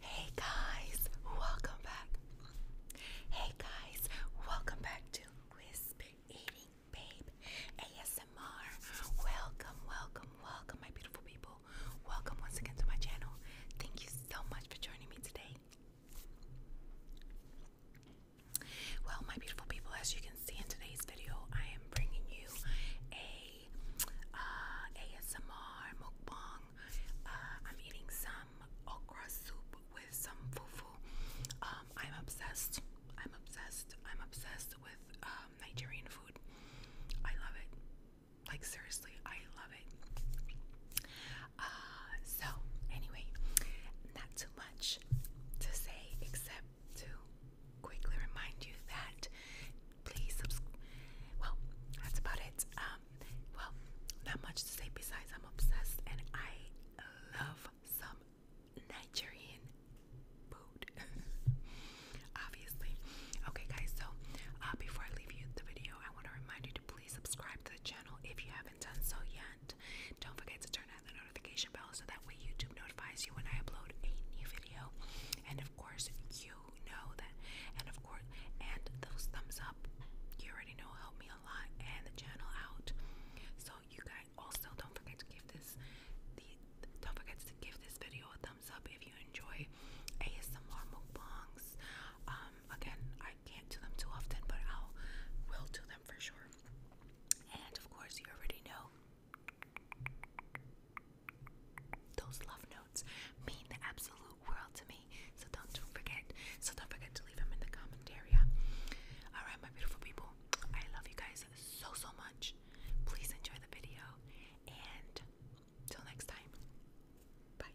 Hey guys, welcome back. Hey guys, welcome back to Whisper Eating Babe ASMR. Welcome, welcome, welcome, my beautiful people. Welcome once again to my channel. Thank you so much for joining me today. Well, my beautiful people, as you can see in today's video, I am bringing you a uh, ASMR mukbang. Uh, I'm eating some okra soup with some fufu. Um, I'm obsessed. I'm obsessed. I'm obsessed with um, Nigerian food. I love it. Like seriously, I love it. Uh, so anyway, not too much to say except to quickly remind you that please subscribe. Well, that's about it. Um, well, not much to say besides I'm obsessed and I love some Nigerian food. Obviously. Okay, guys, so uh, before I leave you the video, I want to remind you to please subscribe to the channel if you haven't done so yet. Don't forget to turn on the notification bell so that way YouTube notifies you when I upload a new video. And of course, you know that. And of course, and those thumbs up, you already know, help me a lot and the channel out. So you guys also don't forget to give this don't forget to give this video a thumbs up if you enjoy ASMR mukbangs. Um, um, again, I can't do them too often, but i will do them for sure. And of course, you already know those love notes mean the absolute world to me. So don't forget. So don't forget to leave them in the comment area. All right, my beautiful people. I love you guys so so much. Please enjoy the video, and till next time. Bye.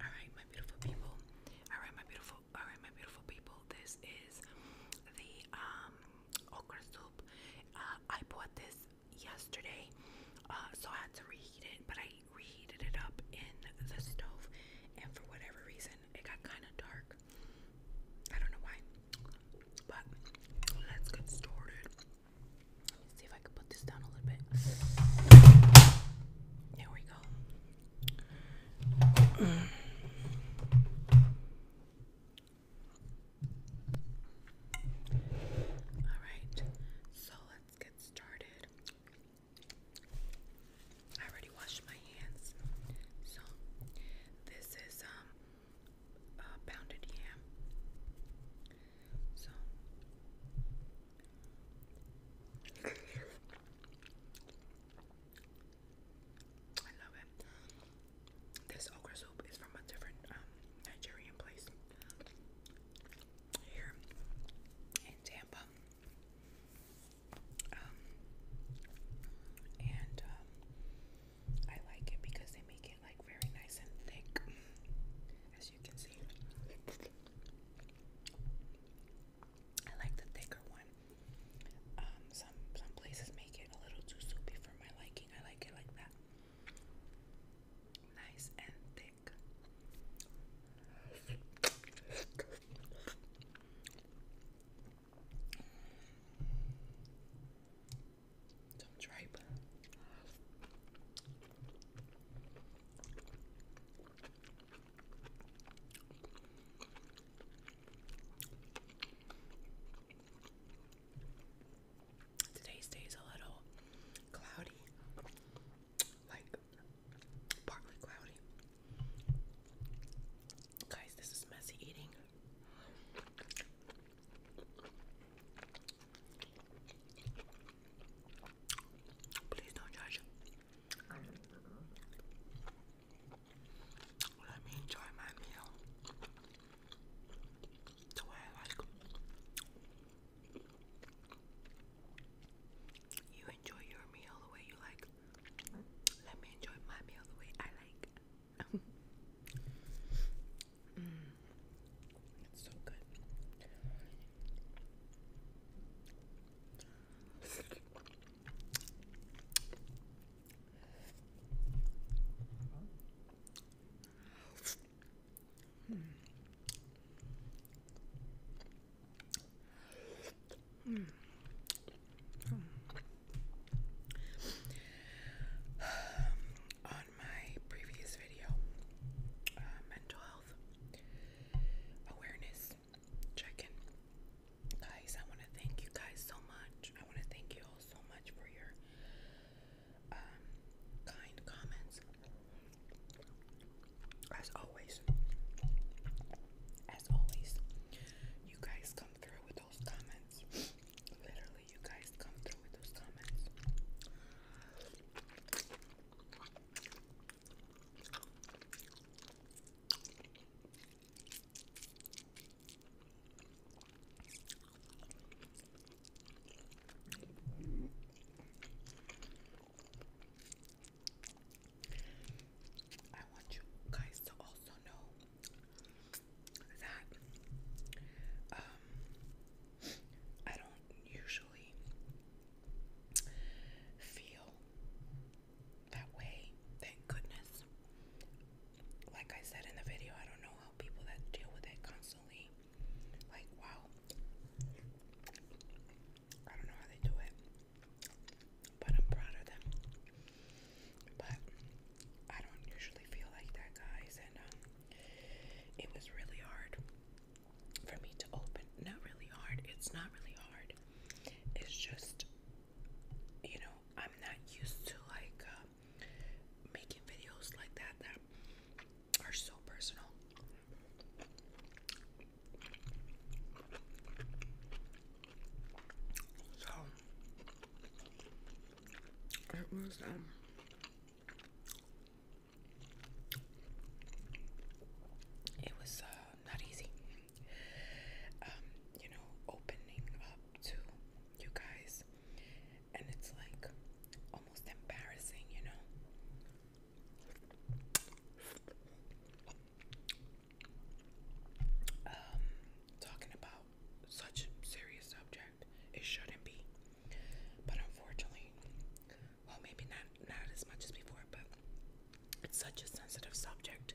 All right, my beautiful people. All right, my beautiful. All right, my beautiful people. This is the um, okra soup. Uh, I bought this yesterday, uh, so I had to reheat it, but I reheated it up in the stove, and for whatever reason, it got kind of dark. I don't know why, but let's get started. see if I can put this down a little bit. There we go. Alright, so let's get started. I already washed my hands. So this is um uh, pounded yam. So I love it. This okra soup is from a different um, Nigerian place here in Tampa. Um, and um, I like it because they make it like very nice and thick, as you can see. I like the thicker one. Um, some some places make it a little too soupy for my liking. I like it like that. Nice and thick. Some tripe. Today's day's a little cloudy, like partly cloudy. Guys, this is messy eating. Please don't judge. Let me enjoy my meal the way I like. You enjoy your meal the way you like. Let me enjoy my meal the way I like. Mm. It's so good. Mm. On my previous video, uh, mental health awareness, guys. Guys, I want to thank you guys so much. I want to thank you all so much for your um, kind comments. As always, as always, you guys come through with those comments. Literally, you guys come through with those comments. I want you guys to also know that um, I don't usually feel that way. Thank goodness. Like I said in the video, I don't know how people that deal with it constantly, like, wow. I don't know how they do it, but I'm proud of them. But I don't usually feel like that, guys, and um, it was really hard for me to open. Not really hard. It's not really hard. It's just, you know, I'm not used to like uh, making videos like that that are so personal. So it was um it was uh not easy. Um, you know, opening up to you guys, and it's like almost embarrassing, you know. Um, talking about such serious subject, it shouldn't be, but unfortunately, well maybe not not as much as before but it's such a sensitive subject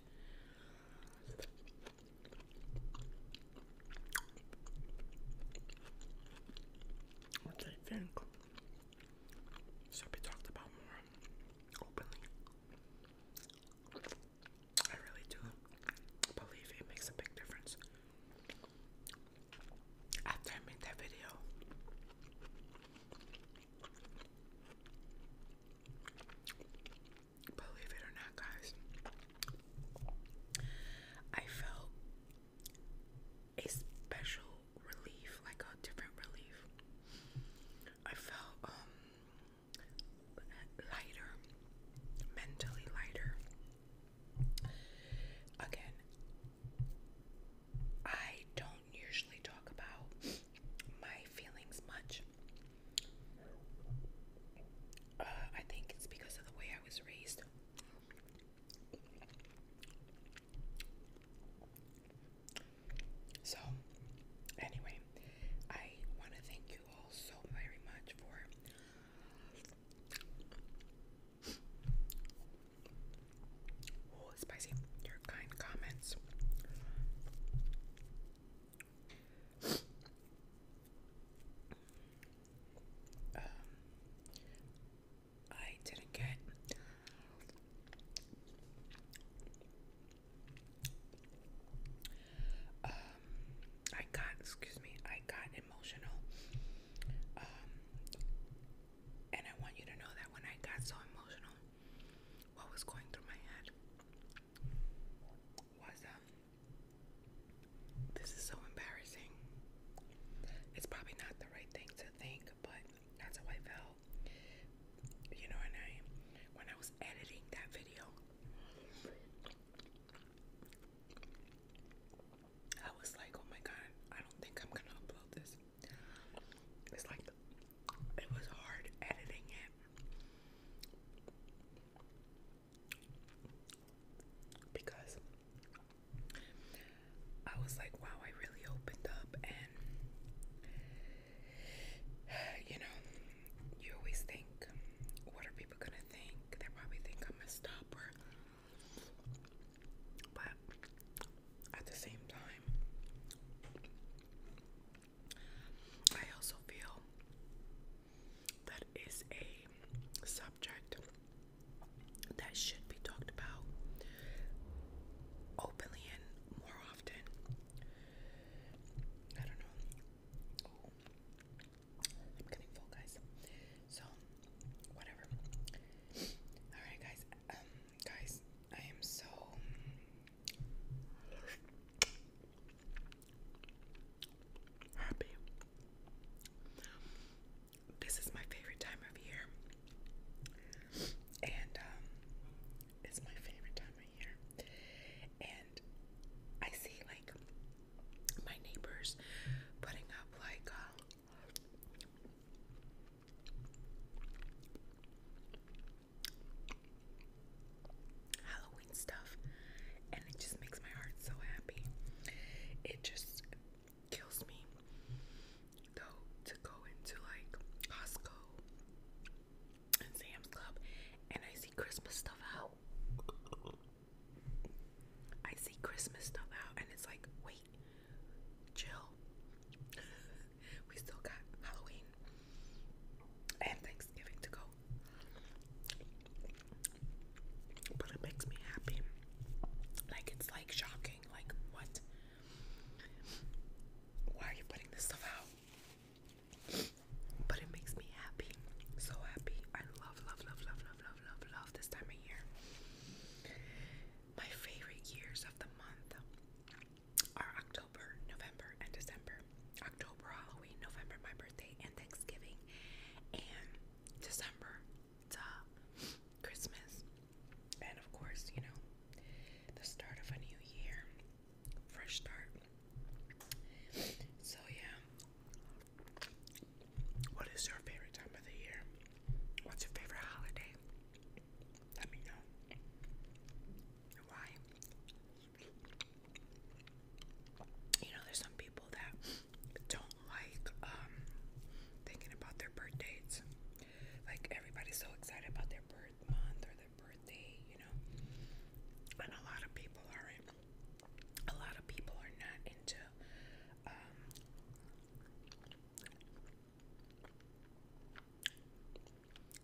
what think should be talked about more openly I really do believe it makes a big difference after I made that video Believe it or not, guys, I felt a special relief, like a different relief. I felt um, lighter, mentally lighter. Again, I don't usually talk about my feelings much. Uh, I think it's because of the way I was raised. So, anyway, I want to thank you all so very much for Oh, spicy. Your kind comments. Um, I didn't get um I got excuse me I got emotional um and I want you to know that when I got so emotional what was going through my head was this is so embarrassing. It's probably not the right thing to think, but that's how I felt. You know, and I when I was editing that video I was like, oh my god, I don't think I'm gonna upload this. It's like it was hard editing it. Because I was like, wow, I really opened up, and you know, you always think, what are people gonna think? They probably think I'm a stopper, but at the same time, I also feel that is a subject that should be talked about openly and more often. I don't know. I'm getting full, guys. So, whatever. All right, guys. Um, guys, I am so happy. This is my favorite time of year, and um, it's my favorite time of year. And I see like my neighbors putting up like uh, Halloween stuff, and it just makes my heart so happy. It just kills me though to go into like Costco and Sam's Club and I see Christmas stuff out. I see Christmas stuff out, and it's like, wait, chill we still got Halloween and Thanksgiving to go. But it makes me happy. Like it's like shocking. Like what? Why are you putting this stuff out? But it makes me happy. So happy. I love, love, love, love, love, love, love, this time of year. My favorite years of the month are October, November, and December. October, Halloween, November, my birthday, and Thanksgiving, and December, to Christmas, and of course, you know, the start of a new year, fresh start. So, yeah, what is your favorite time of the year? What's your favorite holiday? Let me know why. You know, there's some people that don't like um, thinking about their birth Like everybody's so excited about their birth month or their birthday, you know. And a lot of people aren't. A lot of people are not into um,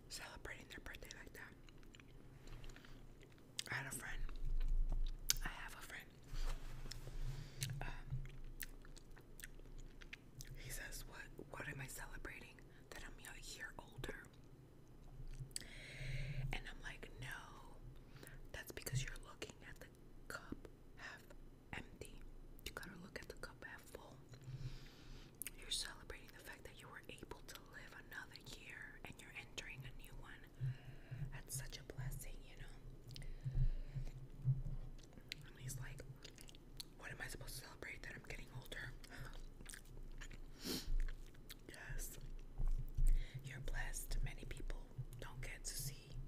celebrating their birthday like that. I had a friend. I have a friend. Um, he says, "What? What am I celebrating? That I'm a year older?" And I'm like, "No, that's because you're looking at the cup half empty. You gotta look at the cup half full." You're celebrating the fact that you were able to live another year and you're entering a new one. That's such a blessing, you know? he's like, What am I supposed to celebrate that I'm getting older? yes. You're blessed. Many people don't get to see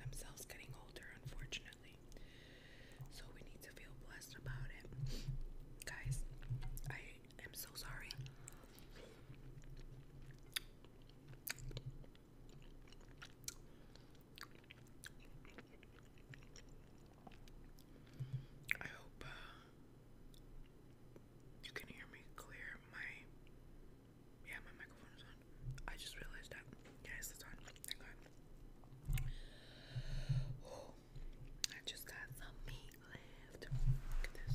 themselves getting older, unfortunately. So we need to feel blessed about it. Guys, I am so sorry. I hope uh, you can hear me clear. My yeah, my microphone is on. I just realized that. Yes, it's on. Thank God. Oh, I just got some meat left. Look at this.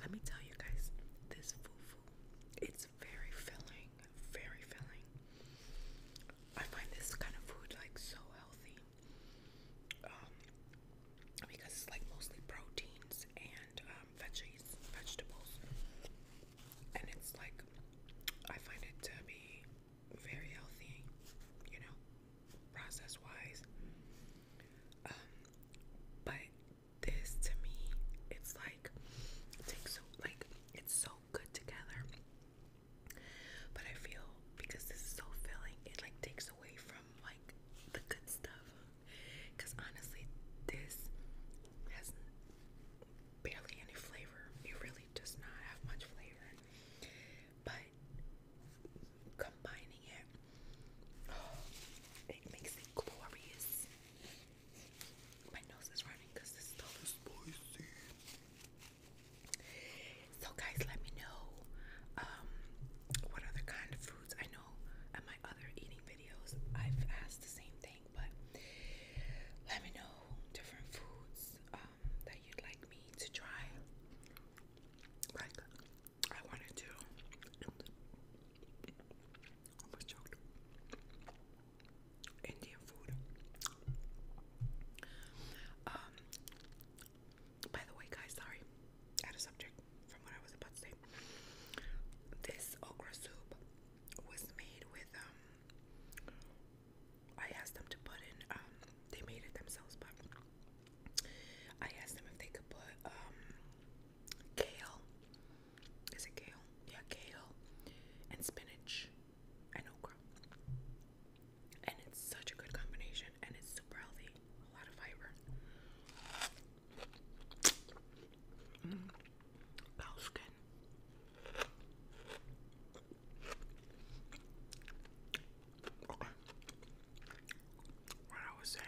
Let me tell you guys, this fufu, it's very filling, very filling. I find this kind of food like so healthy. Um, because it's like mostly proteins and um, veggies, vegetables and it's like I find it to be very healthy, you know, process wise. Um, but this to me, it's like it takes so like it's so good together. But I feel because this is so filling, it like takes away from like the good stuff. Cause honestly, this has barely any flavor. It really does not have much flavor. But combining it, oh, it makes it glorious. My nose is running because this stuff is spicy. So guys, let me know um, what other kind of foods. I know in my other eating videos, I've asked the same but let me know different foods um, that you'd like me to try. Like I wanted to. am Indian food. Um. By the way, guys, sorry. Out of subject from what I was about to say. This okra soup was made with um I asked them to put in, um, they made it themselves, but I asked them if they could put um, kale. Is it kale? Yeah, kale and spinach and okra. And it's such a good combination and it's super healthy, a lot of fiber. Mm-hmm cow skin. Okay. What I was saying.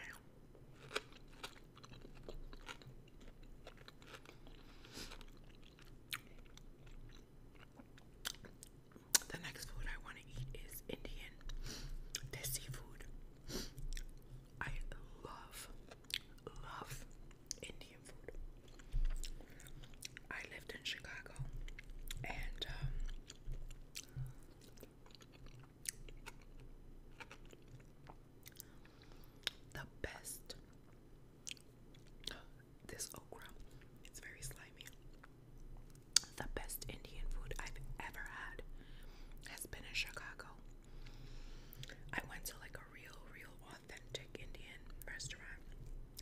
The next food I want to eat is Indian. This seafood. I love, love, Indian food. I lived in Chicago and um, the best this okra it's very slimy the best Indian food I've ever had has been in Chicago I went to like real, real authentic Indian restaurant.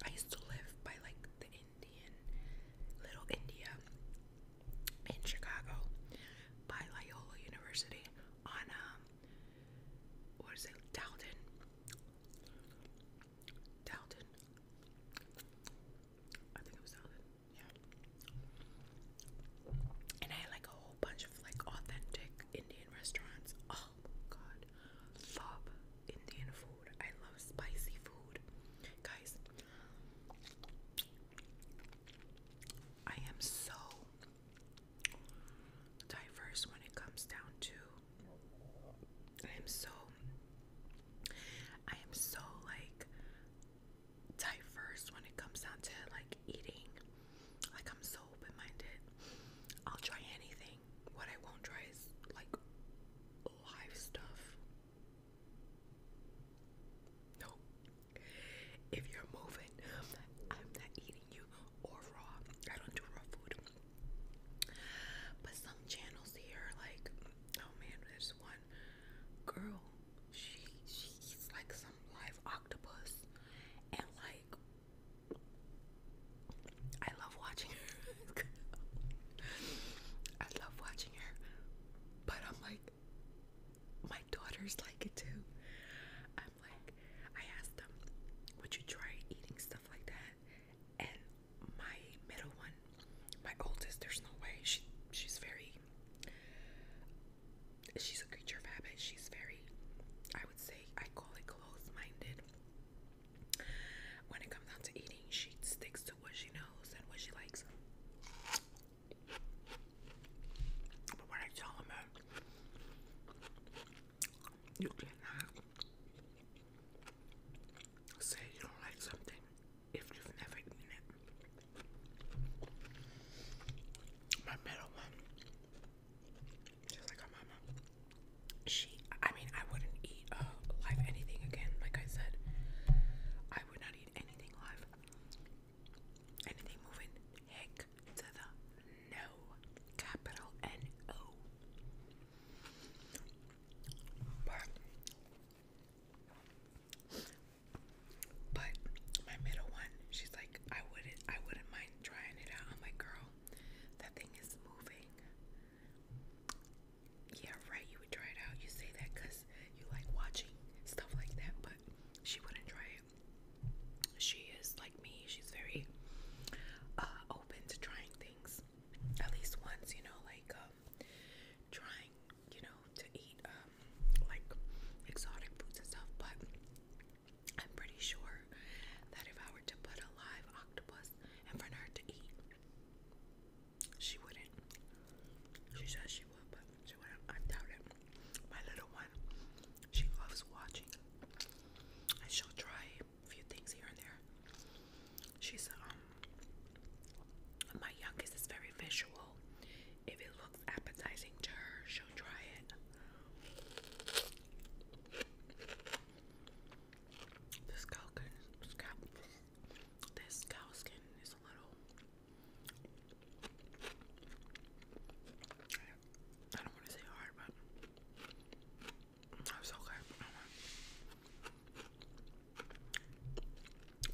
I used to live by like the Indian, Little India in Chicago by Loyola University on, um, what is it, Dalton? Dalton? I think it was Dalton, yeah. And I had like a whole bunch of like authentic Indian restaurants all Oh god. Love Indian food. I love spicy food. Guys, I am so diverse when it comes down to I am so I am so like diverse when it comes down to like eating. Like I'm so open minded. I'll try anything. What I won't try is like live stuff. No. If you're moving, I'm not eating you or raw. I don't do raw food. But some channels here, like, oh man, there's one girl. She she like some live octopus and like I love watching her. I love watching her. But I'm like, my daughters like it too. I'm like, I asked them, would you try eating stuff like that? And my middle one, my oldest, there's no way. She she's very she's a creature of habit. She's very I would say I call it close minded. When it comes down to eating, she sticks to what she knows and what she likes. But when I tell him you cannot say you don't like something if you've never eaten it. My middle one just like our mama. She, I mean, I wouldn't eat uh, live anything again. Like I said, I would not eat anything live. Anything moving, heck to the no. Capital N O. But, but my middle one, she's like, I wouldn't, I wouldn't mind trying it out. I'm like, girl, that thing is moving. Yeah, right. You would try it out. You say that because you like watching stuff like that, but she wouldn't try it. She is like me. She's very uh, open to trying things. At least once, you know, like um, trying, you know, to eat um, like exotic foods and stuff. But I'm pretty sure that if I were to put a live octopus in front of her to eat, she wouldn't. She says she would, but she wouldn't. I doubt it. My little one, she loves watching, and she try a few things here and there. She's um, my youngest is very visual. If it looks appetizing to her, she'll try it. This cow skin, this cow skin is a little. I don't want to say hard, but that's okay.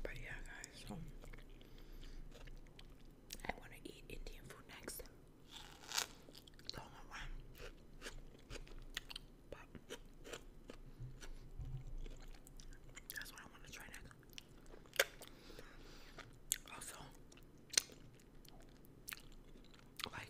But yeah, guys, um, I want to eat Indian food next. Don't that's what I want to try next. Also, like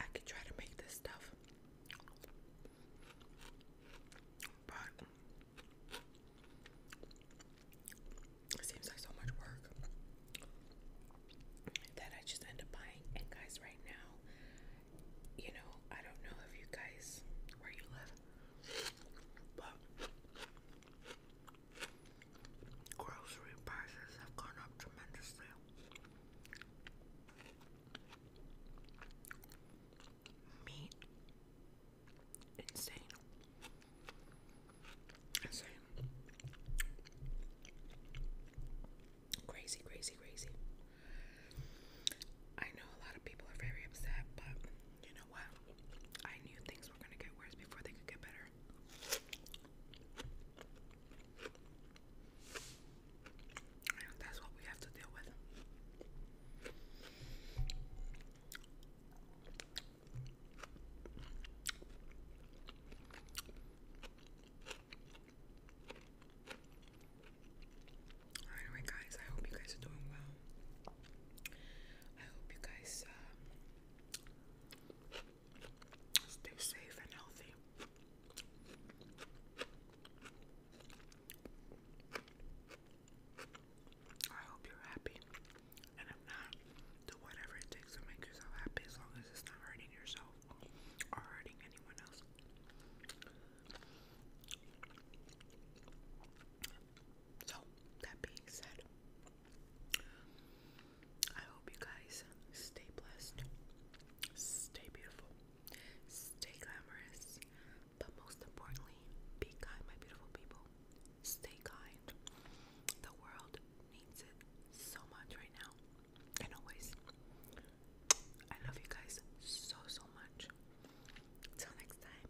I could try to make this stuff but seems like so much work that I just end up buying. And guys, right now, you know, I don't know if you guys where you live, but grocery prices have gone up tremendously meat. Insane. Insane. Crazy, crazy, crazy. I know a lot of people are very upset, but you know what? I knew things were gonna get worse before they could get better that's what we have to deal with. Alright, guys, I hope you guys are doing well. I hope you guys uh, stay safe and healthy. I hope you're happy. And if not, do whatever it takes to make yourself happy as long as it's not hurting yourself or hurting anyone else. So, that being said, I hope you guys stay blessed, stay beautiful, Stay glamorous, but most importantly, be kind, my beautiful people. Stay kind. The world needs it so much right now. And always. I love you guys so, so much. Till next time.